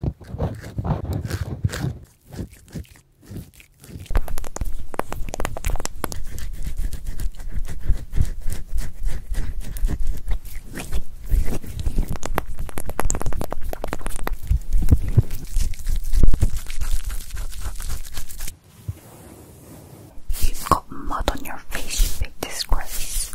You've got mud on your face, you big disgrace.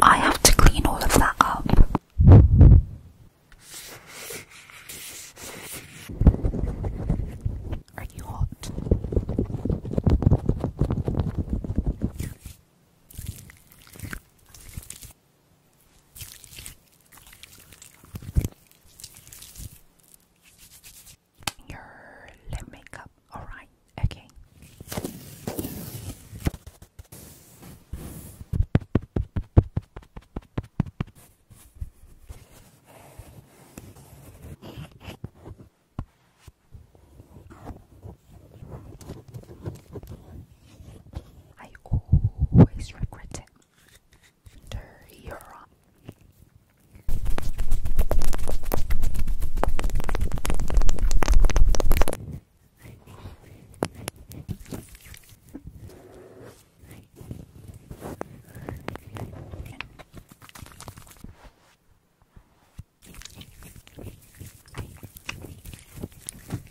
I have to clean all of that up. Are you hot? Your lip makeup, alright, okay. I always regret it. Dirty Europe.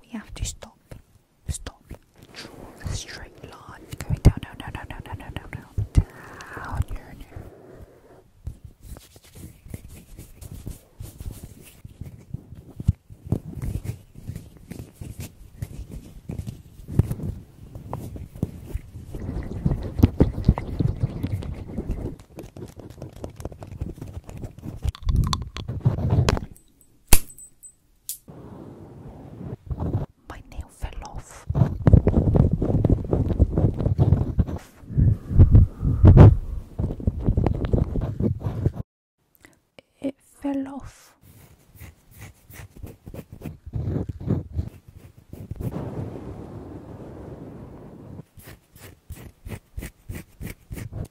we have to stop. Stop. Draw a straight line going down. No, no, no, no, no, no, no, no. Down. No, no. My nail fell off. It fell off.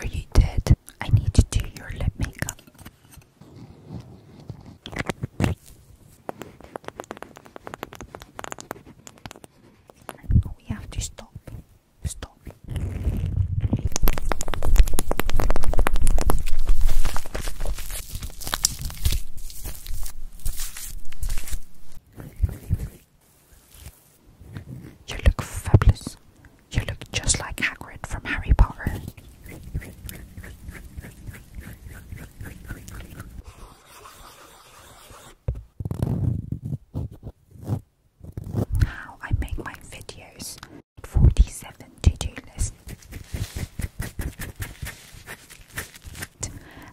Are you dead? I need to do your lip makeup. Oh, we have to stop. Stop. You look fabulous. You look just like Hagrid from Harry Potter. How I make my videos. 47 to do list.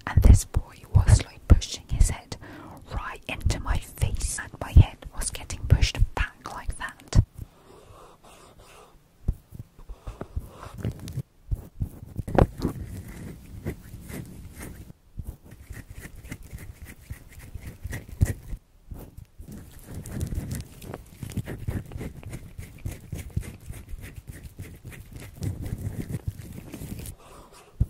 And this boy was like pushing his right into my face, and my head was getting pushed back like that.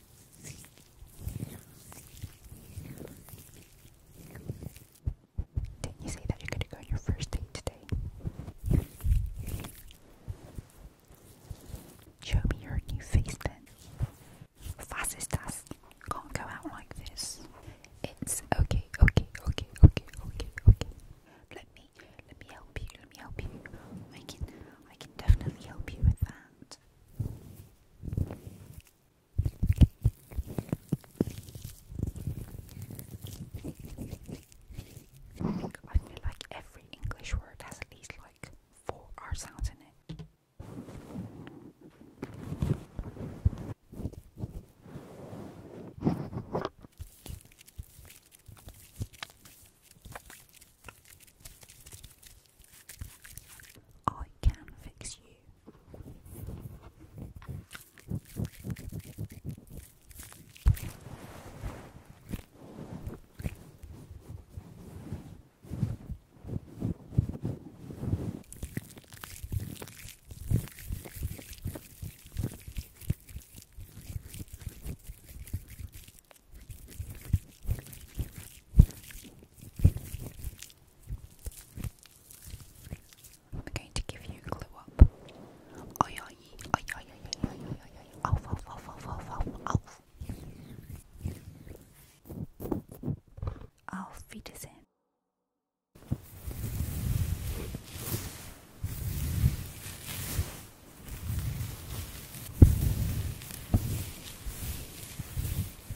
Didn't you say that you're going to go on your first date today? Show me your new face then. Was ist das? Can't go out like this. It's okay, okay, okay, okay, okay, okay. Let me, let me help you, let me help you. I can, I can definitely help you with that. I feel like every English word has at least like four R sounds in it. I can fix you. I'm going to give you a clue up. Oy, oy, oy, oy, oy, oy, oy, oy, off, off, off, off, off, off, off. Auf Wiedersehen.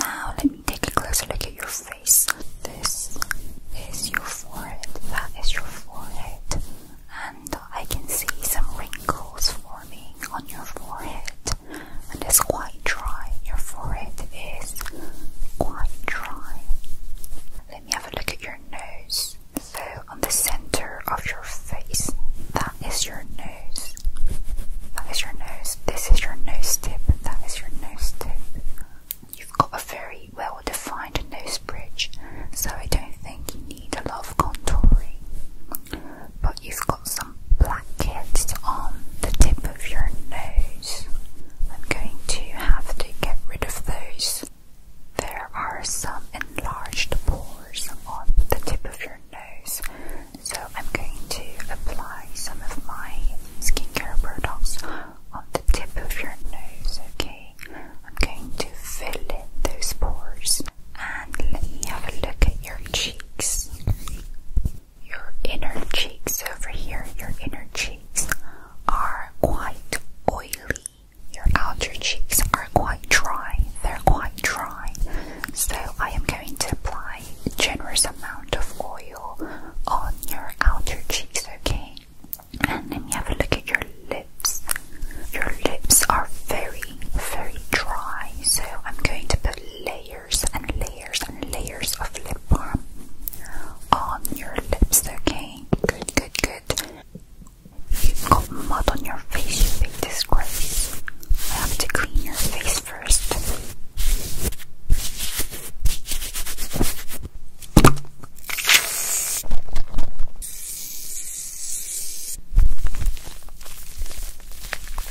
Now let me take a closer look at your face. This is your forehead, that is your forehead, and I can see some wrinkles forming on your forehead and it's quite dry. Your forehead is quite dry. Let me have a look at your nose. So, on the center of your face, that is your nose. That is your nose. This is your nose tip. That is your nose tip. You've got a very well defined nose bridge, so I don't think you need a lot of contouring. But you've got some Blackheads on the tip of your nose. I'm going to have to get rid of those. There are some enlarged pores on the tip of your nose, so I'm going to apply some of my skincare products on the tip of your nose, okay? I'm going to fill in those pores and let me have a look at your cheeks. Your inner cheeks over here, your inner cheeks are quite oily. Your outer cheeks are quite dry. They're quite dry. So I am going to apply a generous amount of oil on your outer cheeks, okay? And then you have a look at your lips. Your lips are very, very dry. So I'm going to put layers and layers and layers of lip balm on your lips, okay? Good, good, good. You've got mud on your face, you make disgrace. I have to clean your face first.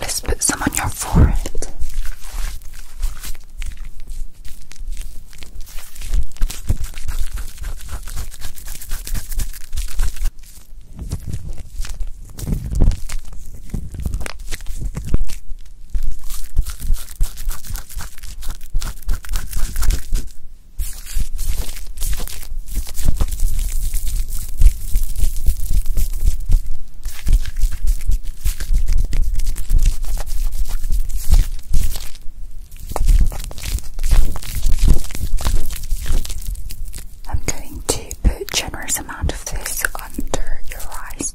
Let's put some on your forehead. I'm going to put generous amount of this under your eyes.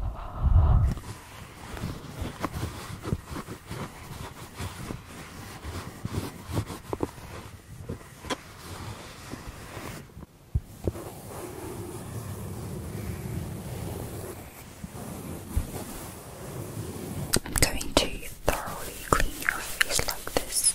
I'm going to thoroughly clean your face like this.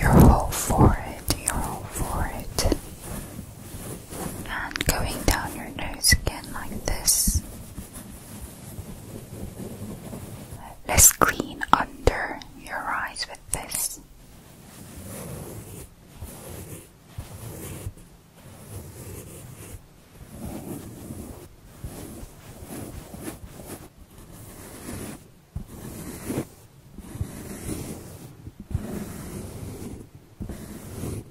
Your you forehead, your whole forehead, and going down your nose again like this. Let's clean under your eyes with this.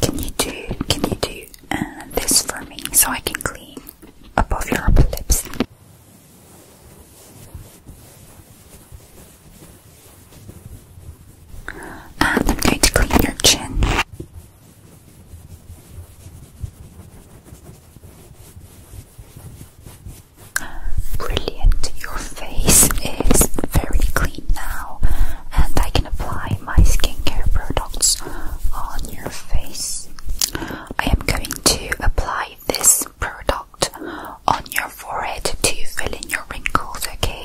Can you do can you do uh, this for me so I can clean above your upper lips? And I'm going to clean your chin. Brilliant, your face is very clean now, and I can apply my skincare products on your face. I am going to apply this product on your forehead to fill in your wrinkles, okay?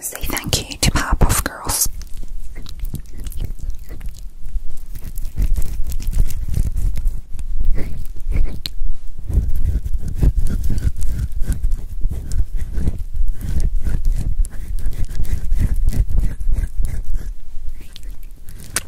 Say thank you to pop off Girls.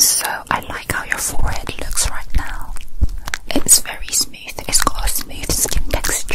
So I like how your forehead looks right now. It's very smooth. It's got a smooth skin texture.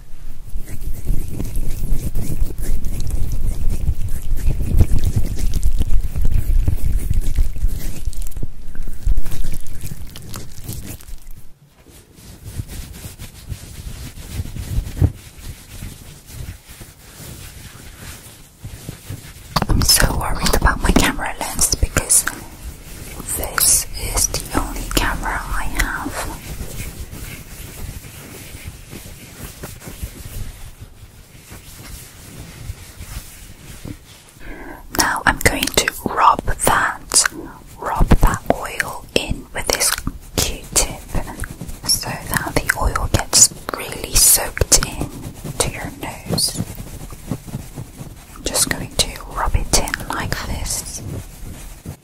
I'm so worried about my camera lens because this is the only camera I have. Now I'm going to rub that, rub that oil in with this Q-tip so that the oil gets really soaked in to your nose. I'm just going to rub it in like this.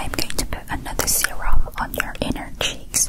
I'm going to put another serum on your inner cheeks.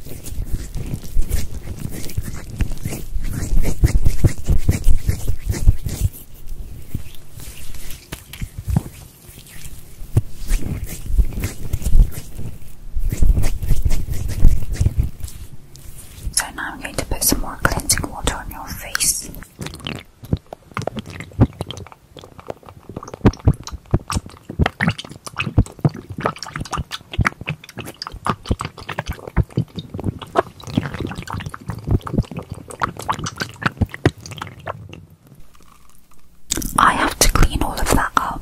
So now I'm going to put some more cleansing water on your face. I have to clean all of that up.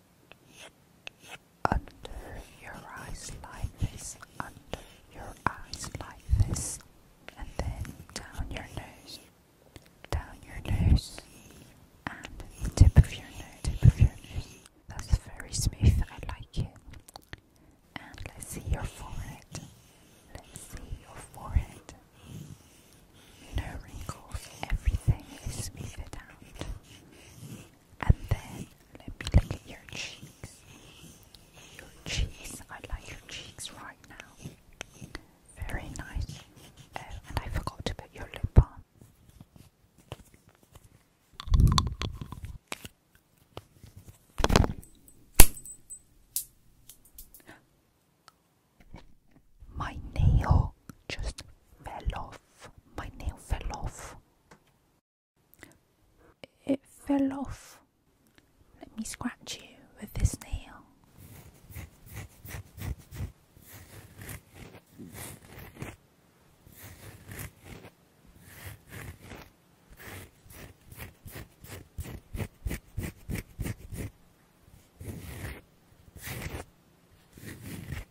under your eyes like this, under your eyes like this, and then down your nose, down your nose, and the tip of your nose, tip of your nose. That's very smooth, I like it. And let's see your forehead. Let's see your forehead. No wrinkles, everything is smoothed out. And then let me look at your cheeks. Your cheeks, I like your cheeks right now. Very nice. Oh, and I forgot to put your lip balm. My nail just fell off. My nail fell off. It fell off. Let me scratch you with this nail.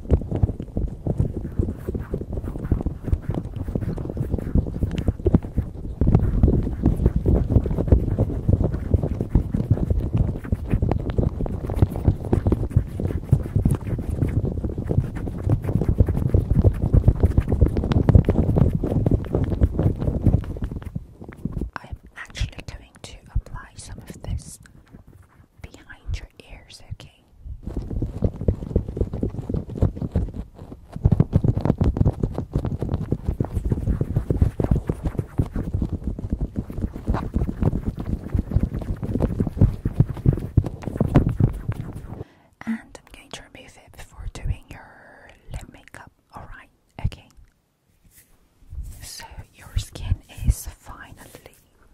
I am actually going to apply some of this behind your ears, okay? And remove it before doing your lip makeup. Alright, okay. So your skin is finally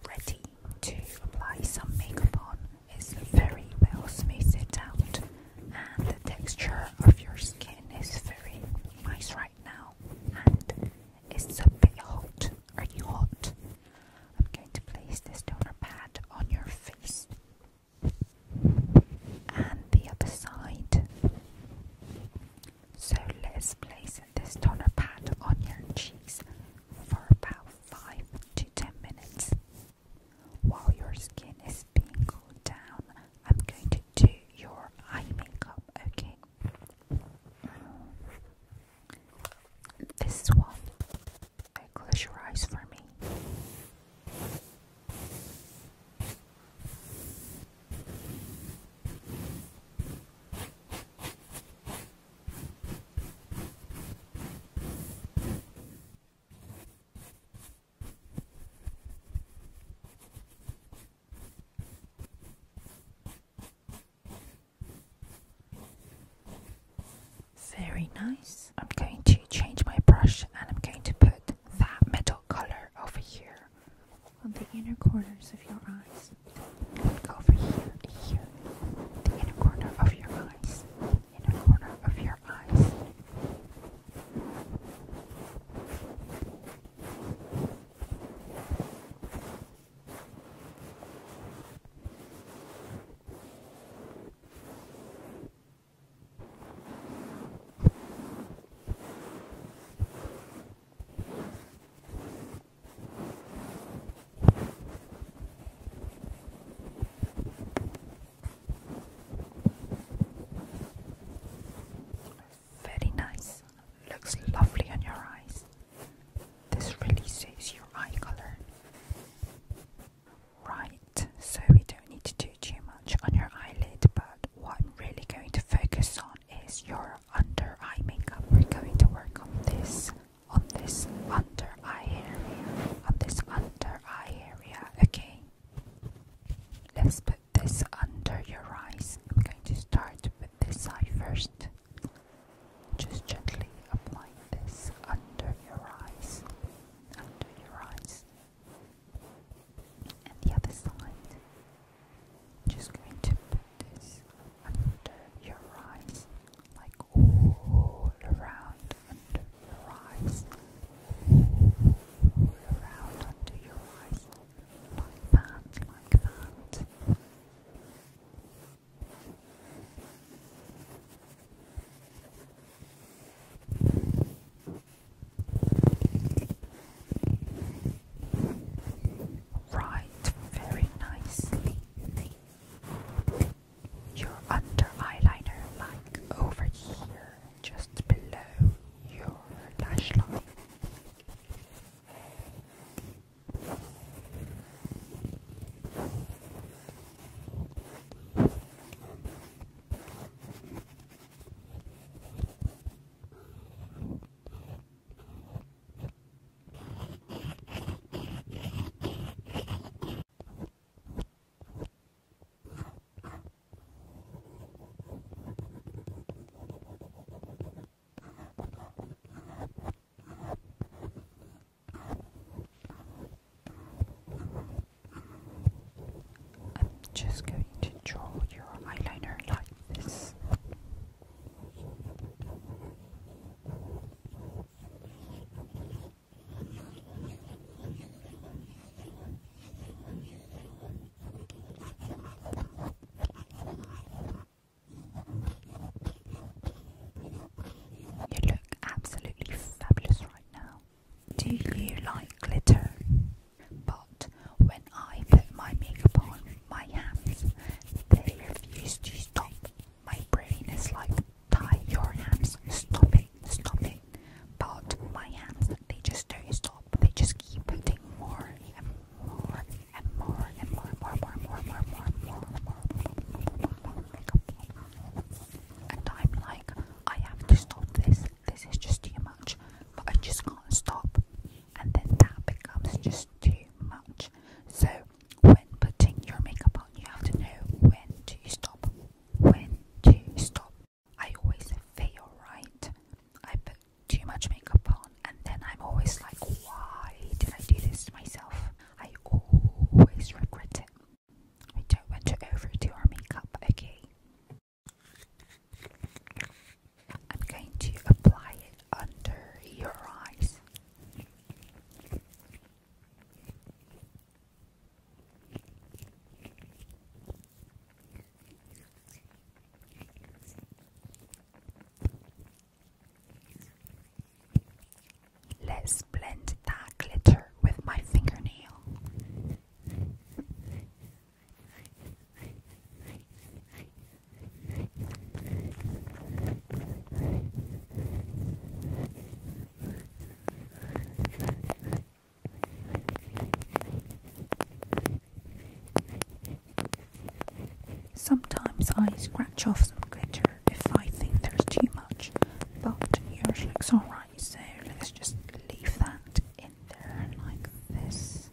ready to apply some makeup on It's very well smoothed out and the texture of your skin is very nice right now and it's a bit hot. Are you hot? I'm going to place this donor pad on your face and the other side. So let's place it this toner pad on your cheeks for about 5 to 10 minutes. While your skin is being cooled down, I'm going to do your eye makeup, okay? This one. Okay, close your eyes for me. Very nice. I'm going to change my brush and I'm going to put that metal color over here on the inner corners of your eyes and go over here, here, the inner corner of your eyes, inner corner of your eyes. Very nice. Looks lovely on your eyes. This really suits your eye color. Right, so we don't need to do too much on your eyelid, but what I'm really going to focus on is your under eye makeup. We're going to work on this on this under eye area, on this under eye area, okay? Let's put this under your eyes. I'm going to start with this eye first. Just gently apply this under your eyes, under your eyes, and the other side. Just going to this under your eyes, like all around under your eyes, all around under your eyes, like that, like that. Right, very nicely your under eyeliner like over here, just below your lash line. I'm just going to draw your eyeliner like this. You look absolutely fabulous right now. Do you like glitter? But when I put my makeup on my hands, they refuse to stop. My brain is like, tie your hands, stop it, stop it. But my hands, they just don't stop. They just keep putting more and more and more and more, more, more, more, more, more, more, more makeup. And I'm like, I have to stop this. This is just too much. But I just can't stop. And then that becomes just too much. So when putting your makeup on, you have to know when to stop. When to stop. I always fail, right? I put too much makeup on, and then I'm always like, why did I do this to myself? I always regret it. I don't want to overdo our makeup, again. I'm going to apply it under your eyes. Let's blend that glitter with my fingernail. Sometimes I scratch off some glitter if I think there's too much, but yours looks alright, so let's just leave that in there like this.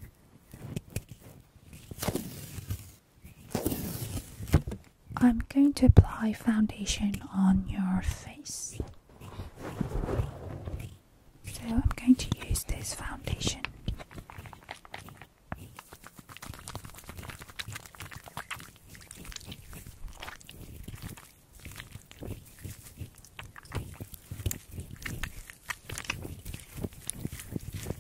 I'm going to apply foundation on your face. So I'm going to use this foundation.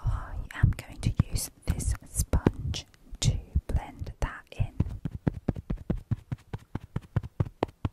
I am going to use this sponge to blend that in.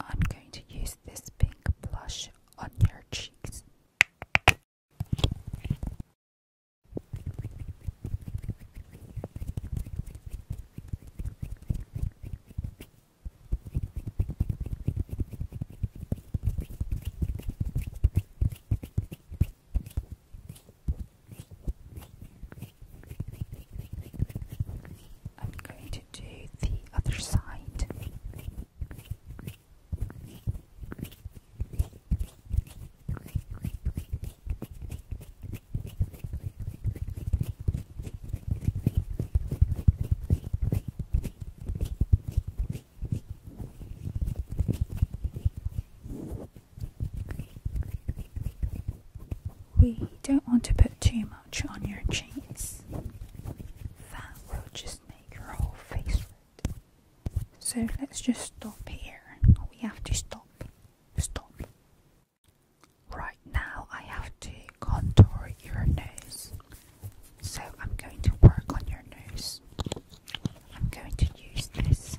I'm going to use this pink blush on your cheeks. I'm going to do the other side. We don't want to put too much on your cheeks. That will just make your whole face red. So let's just stop here. We have to stop. Stop. Right now, I have to contour your nose. So I'm going to work on your nose. I'm going to use this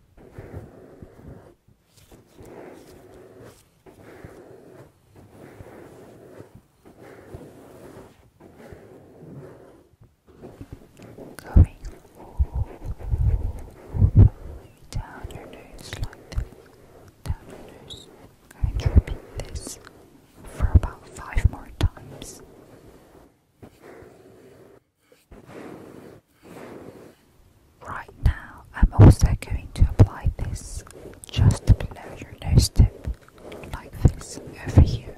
Going down your nose like Down your nose. I'm going to repeat this for about five more times. Right now, I'm also going to apply this just below your nose tip, like this over here.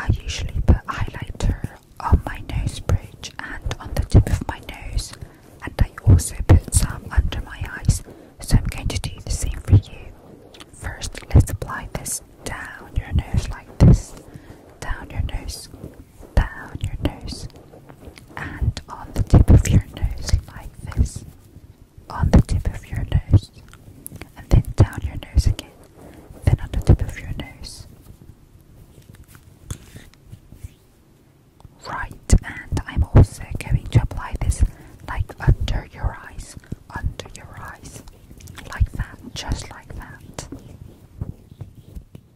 I usually put highlighter on my nose bridge and on the tip of my nose, and I also put some under my eyes. So I'm going to do the same for you. First, let's apply this down your nose like this, down your nose, down your nose and on the tip of your nose, like this. On the tip of your nose, and then down your nose again, then on the tip of your nose. Right, and I'm also going to apply this like under your eyes, under your eyes, like that, just like that.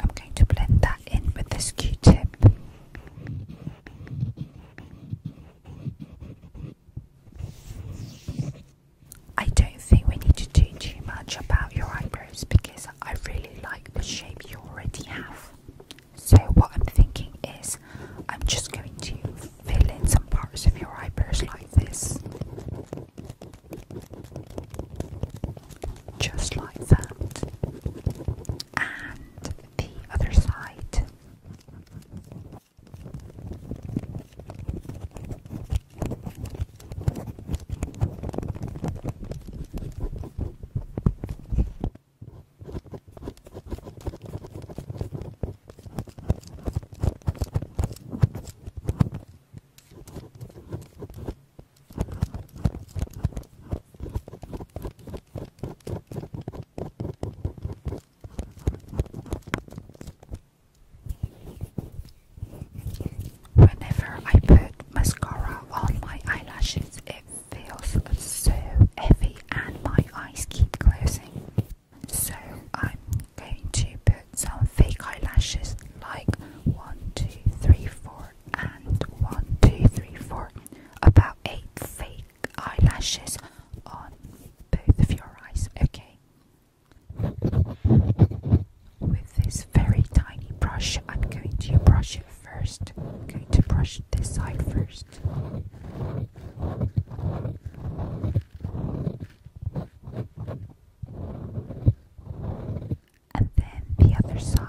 I'm going to blend that in with this Q-tip. I don't think we need to do too much about your eyebrows because I really like the shape you already have. So, what I'm thinking is, I'm just going to fill in some parts of your eyebrows like this. Just like that. And the other side. Whenever I put mascara on my eyelashes, it feels so heavy and my eyes keep closing. So I'm going to put some fake eyelashes like 1, 2, 3, 4 and 1, 2, 3, 4. About 8 fake eyelashes on both of your eyes, okay? With this very tiny brush, I'm going to brush it first. I'm going to brush this side first and then the other side.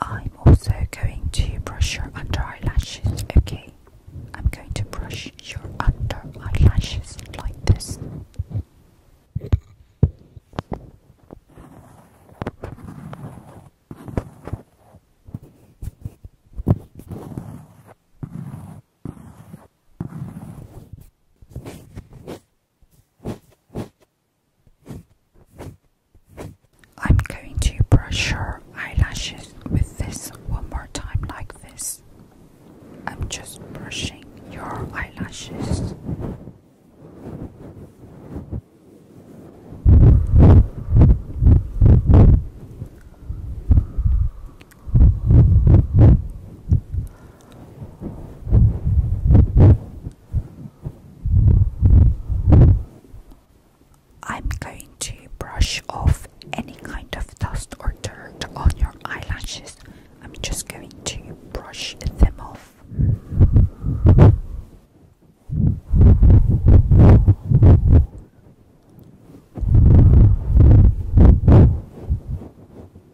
I'm also going to brush your under eyelashes, okay? I'm going to brush your under eyelashes like this. I'm going to brush your eyelashes with this one more time, like this. I'm just brushing your eyelashes. I'm going to brush off any kind of dust or dirt on your eyelashes. I'm just going to brush them off.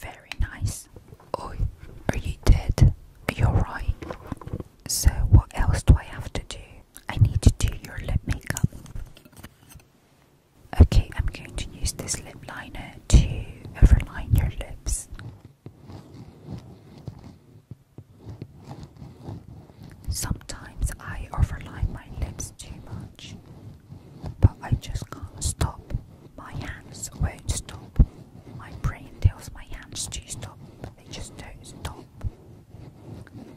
Very nice. Oh, are you dead? You're right. So, what else do I have to do? I need to do your lip makeup. Okay, I'm going to use this lip liner to overline your lips. Sometimes I overline my lips too much, but I just can't stop. My hands won't stop. My brain tells my hands to stop, but they just don't stop.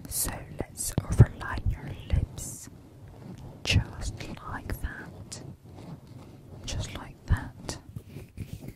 So let's overline your lips just like that. Just like that.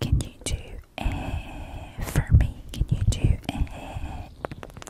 Can you do it for me? Can you do it?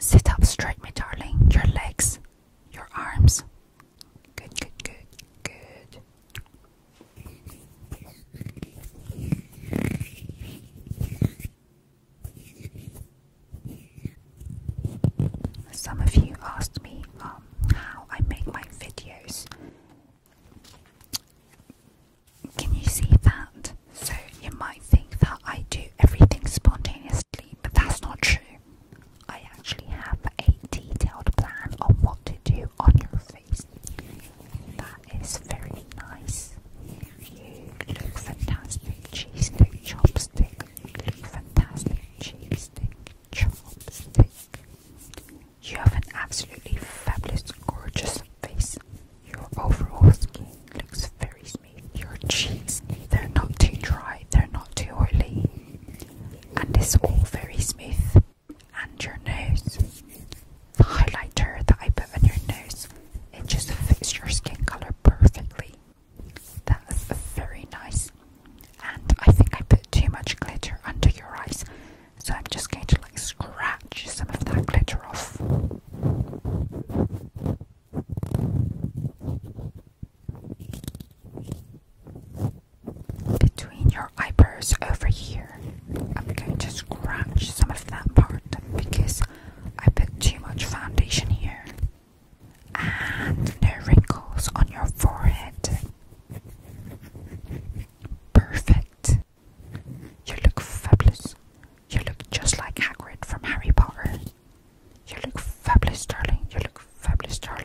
Sit up straight, my darling. Your legs, your arms. Good, good, good, good. Some of you asked me um, how I make my videos, can you see that? So you might think that I do everything spontaneously, but that's not true. I actually have a detailed plan on what to do on your face. That is very nice. You look fantastic, cheese stick, chopstick. Fantastic cheese stick, chopstick. You have an absolutely fabulous, gorgeous face. Your overall skin looks very smooth. Your cheeks, they're not too dry, they're not too oily. And it's all very smooth. And your nose. The highlighter that I put on your nose, it just fits your skin colour perfectly. That's very nice. And I think I put too much glitter under your eyes, so I'm just going to like scratch some of that glitter off. Between your eyebrows over here, I'm going to scratch some of that part because I put too much foundation here. And no wrinkles on your forehead. Perfect. You look fabulous. You look just like Hagrid from Harry Potter. You look fabulous, darling. You look fabulous, darling.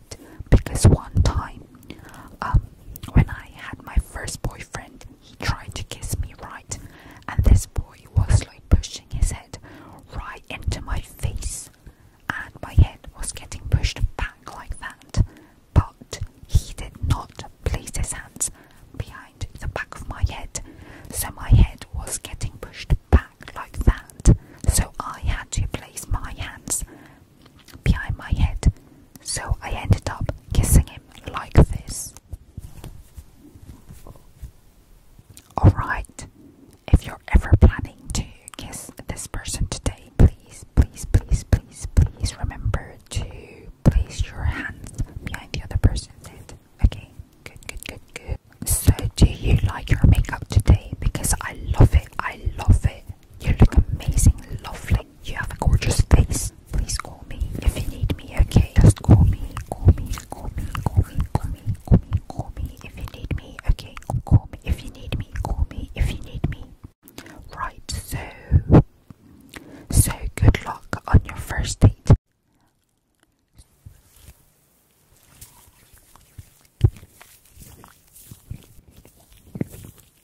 because one time um, when I had my first boyfriend, he tried to kiss me right, and this boy was like pushing his head right into my face, and my head was getting pushed back like that. But he did not place his hands behind the back of my head, so my head was getting pushed back like that. So I had to place my hands behind my head, so I ended up kissing him like this. Alright, if you're ever planning to kiss this person today, please, please, please, please, please remember to place your hands behind the other person's head. Okay, good, good, good, good. So, do you like your makeup today? Because I love it, I love it, you look amazing, lovely. You have a gorgeous face. Please call me if you need me, okay? Just call me, call me, call me, call me, call me, call me, call me if you need me, okay? Call me if you need me, call me if you need me. Right, so so good luck on your first date.